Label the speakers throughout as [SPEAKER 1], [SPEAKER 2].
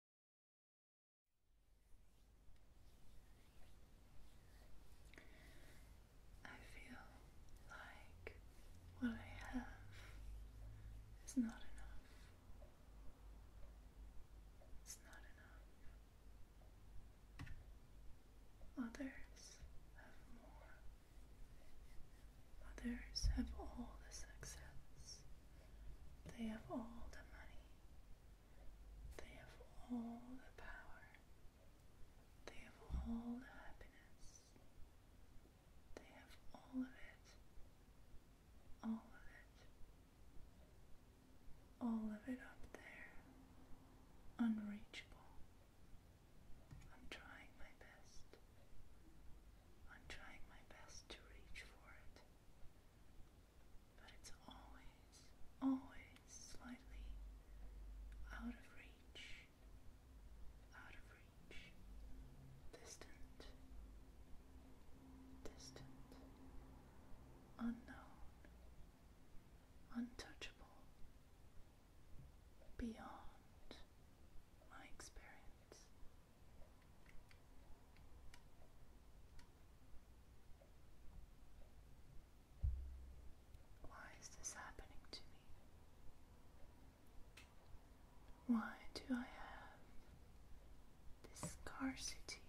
[SPEAKER 1] I feel like what I have is not enough. It's not enough. Others have more. Others have all the success. They have all the money. They have all the power. They have all the happiness. They have all of it. All of it. All of it up there. Unreachable. I'm trying my best. I'm trying my best to reach for it but it's always, always slightly out of reach, out of reach, distant, distant, unknown, untouchable, beyond my experience. Why is this happening to me? Why do I have this scarcity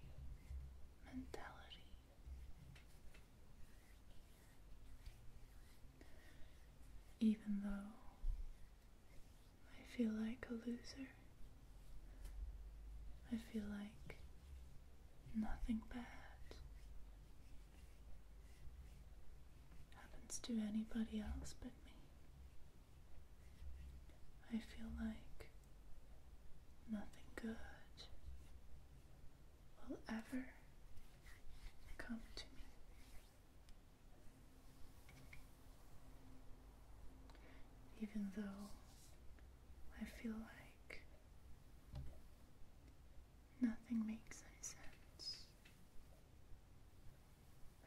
[SPEAKER 1] mentality? Even though I feel like a loser. I feel like nothing bad happens to anybody else but me. I feel like nothing good will ever come to me. Even though I feel like nothing makes any sense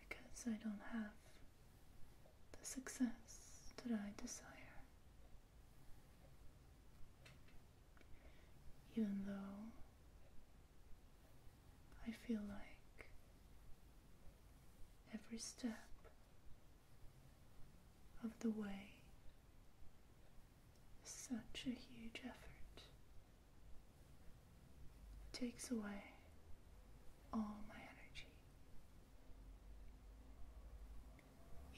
[SPEAKER 1] because I don't have the success that I desire. Even though I feel like every step of the way is such a huge effort. It takes away all my energy.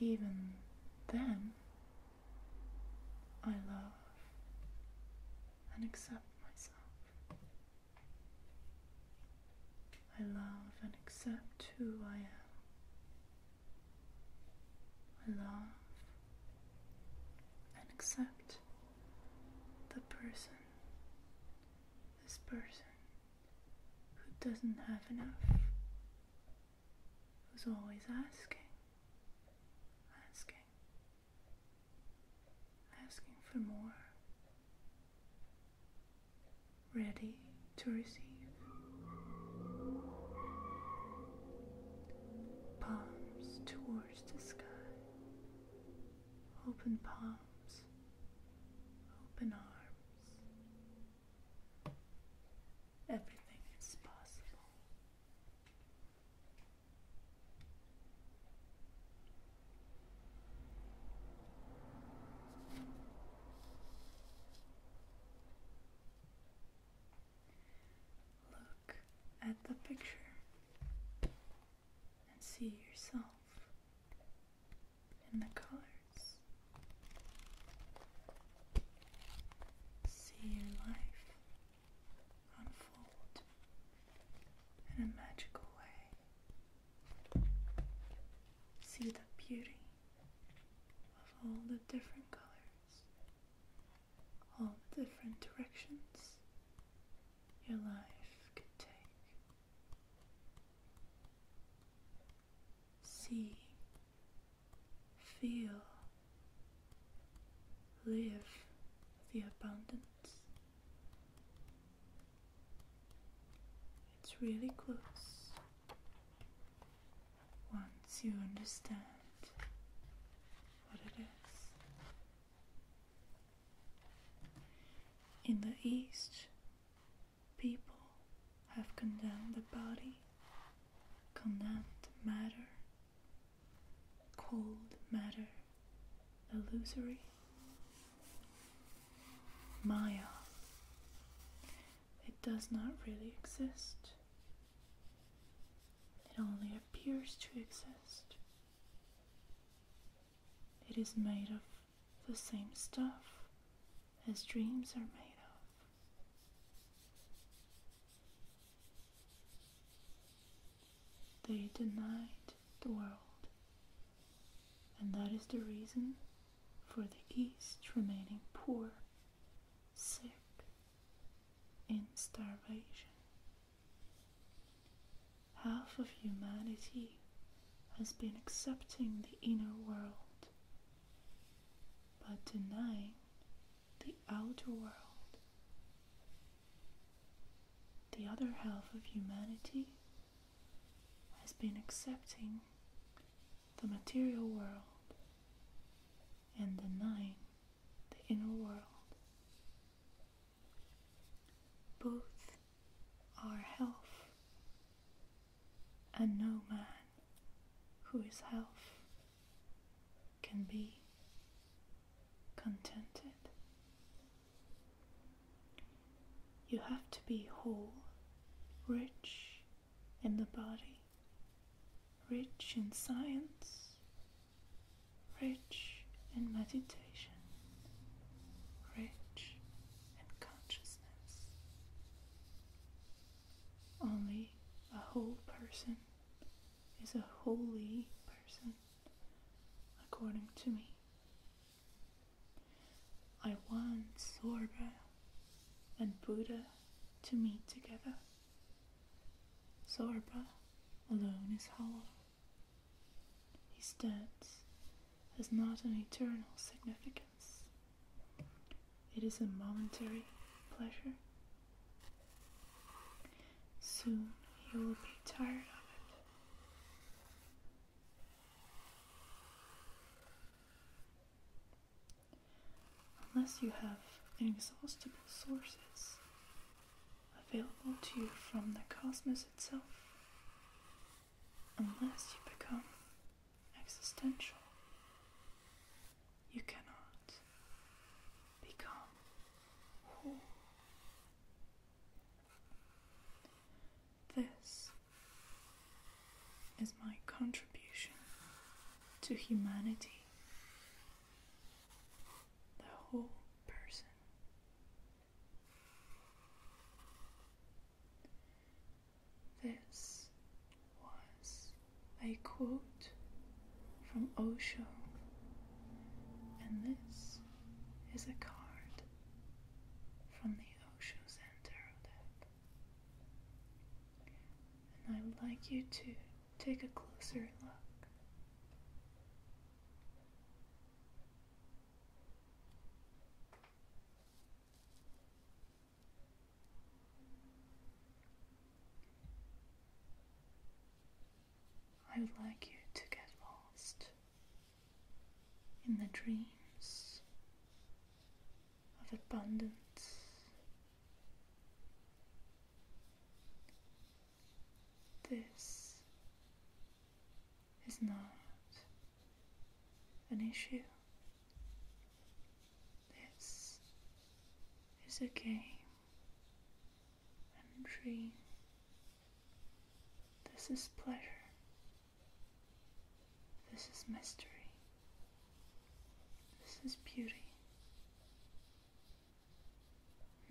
[SPEAKER 1] Even then, I love and accept myself. I love and accept who I am. I love and accept the person, this person who doesn't have enough, who's always asking, asking, asking for more, ready to receive. Palms towards the sky, open palms, open arms. Everything is possible. Look at the picture and see yourself in the colors. See your life unfold in a magical way. See the beauty of all the different colors, all the different directions your life could take. See, feel Live the abundance. It's really close once you understand what it is. In the East, people have condemned the body, condemned matter cold matter, illusory, Maya. It does not really exist. It only appears to exist. It is made of the same stuff as dreams are made of. They denied the world, and that is the reason for the East remaining poor, sick, in starvation. Half of humanity has been accepting the inner world, but denying the outer world. The other half of humanity has been accepting the material world and denying the inner world. Both are health, and no man who is health can be contented. You have to be whole, rich in the body, rich in science, rich in meditation, rich in consciousness. Only a whole person is a holy person, according to me. I want Zorba and Buddha to meet together. Zorba alone is hollow. His dance has not an eternal significance. It is a momentary pleasure. Soon you will be tired of it. Unless you have inexhaustible sources available to you from the cosmos itself, unless you become existential. You cannot become whole. This is my contribution to humanity. The whole person. This was a quote from Osho, and this is a card from the Ocean Center Tarot deck. And I would like you to take a closer look. I would like you to get lost in the dreams of abundance. This is not an issue. This is a game and dream. This is pleasure. This is mystery. This is beauty.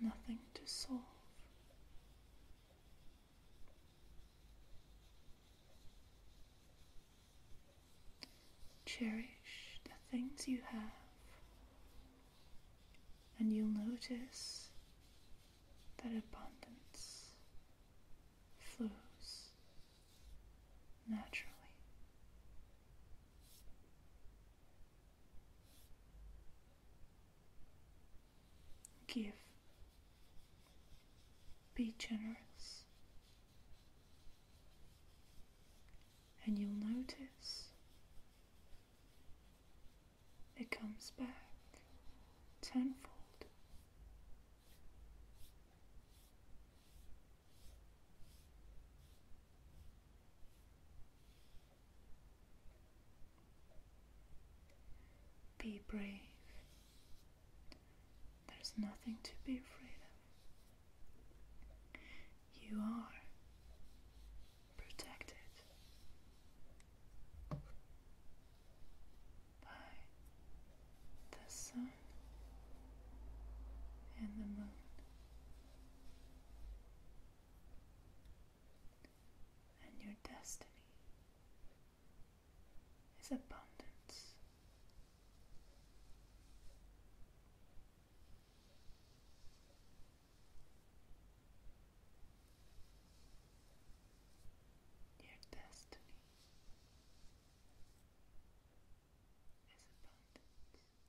[SPEAKER 1] Nothing to solve. Cherish the things you have, and you'll notice that abundance flows naturally. Give be generous, and you'll notice it comes back tenfold. Be brave. There's nothing to be afraid of. You are protected by the sun and the moon. And your destiny is abundance. Your destiny is abundance.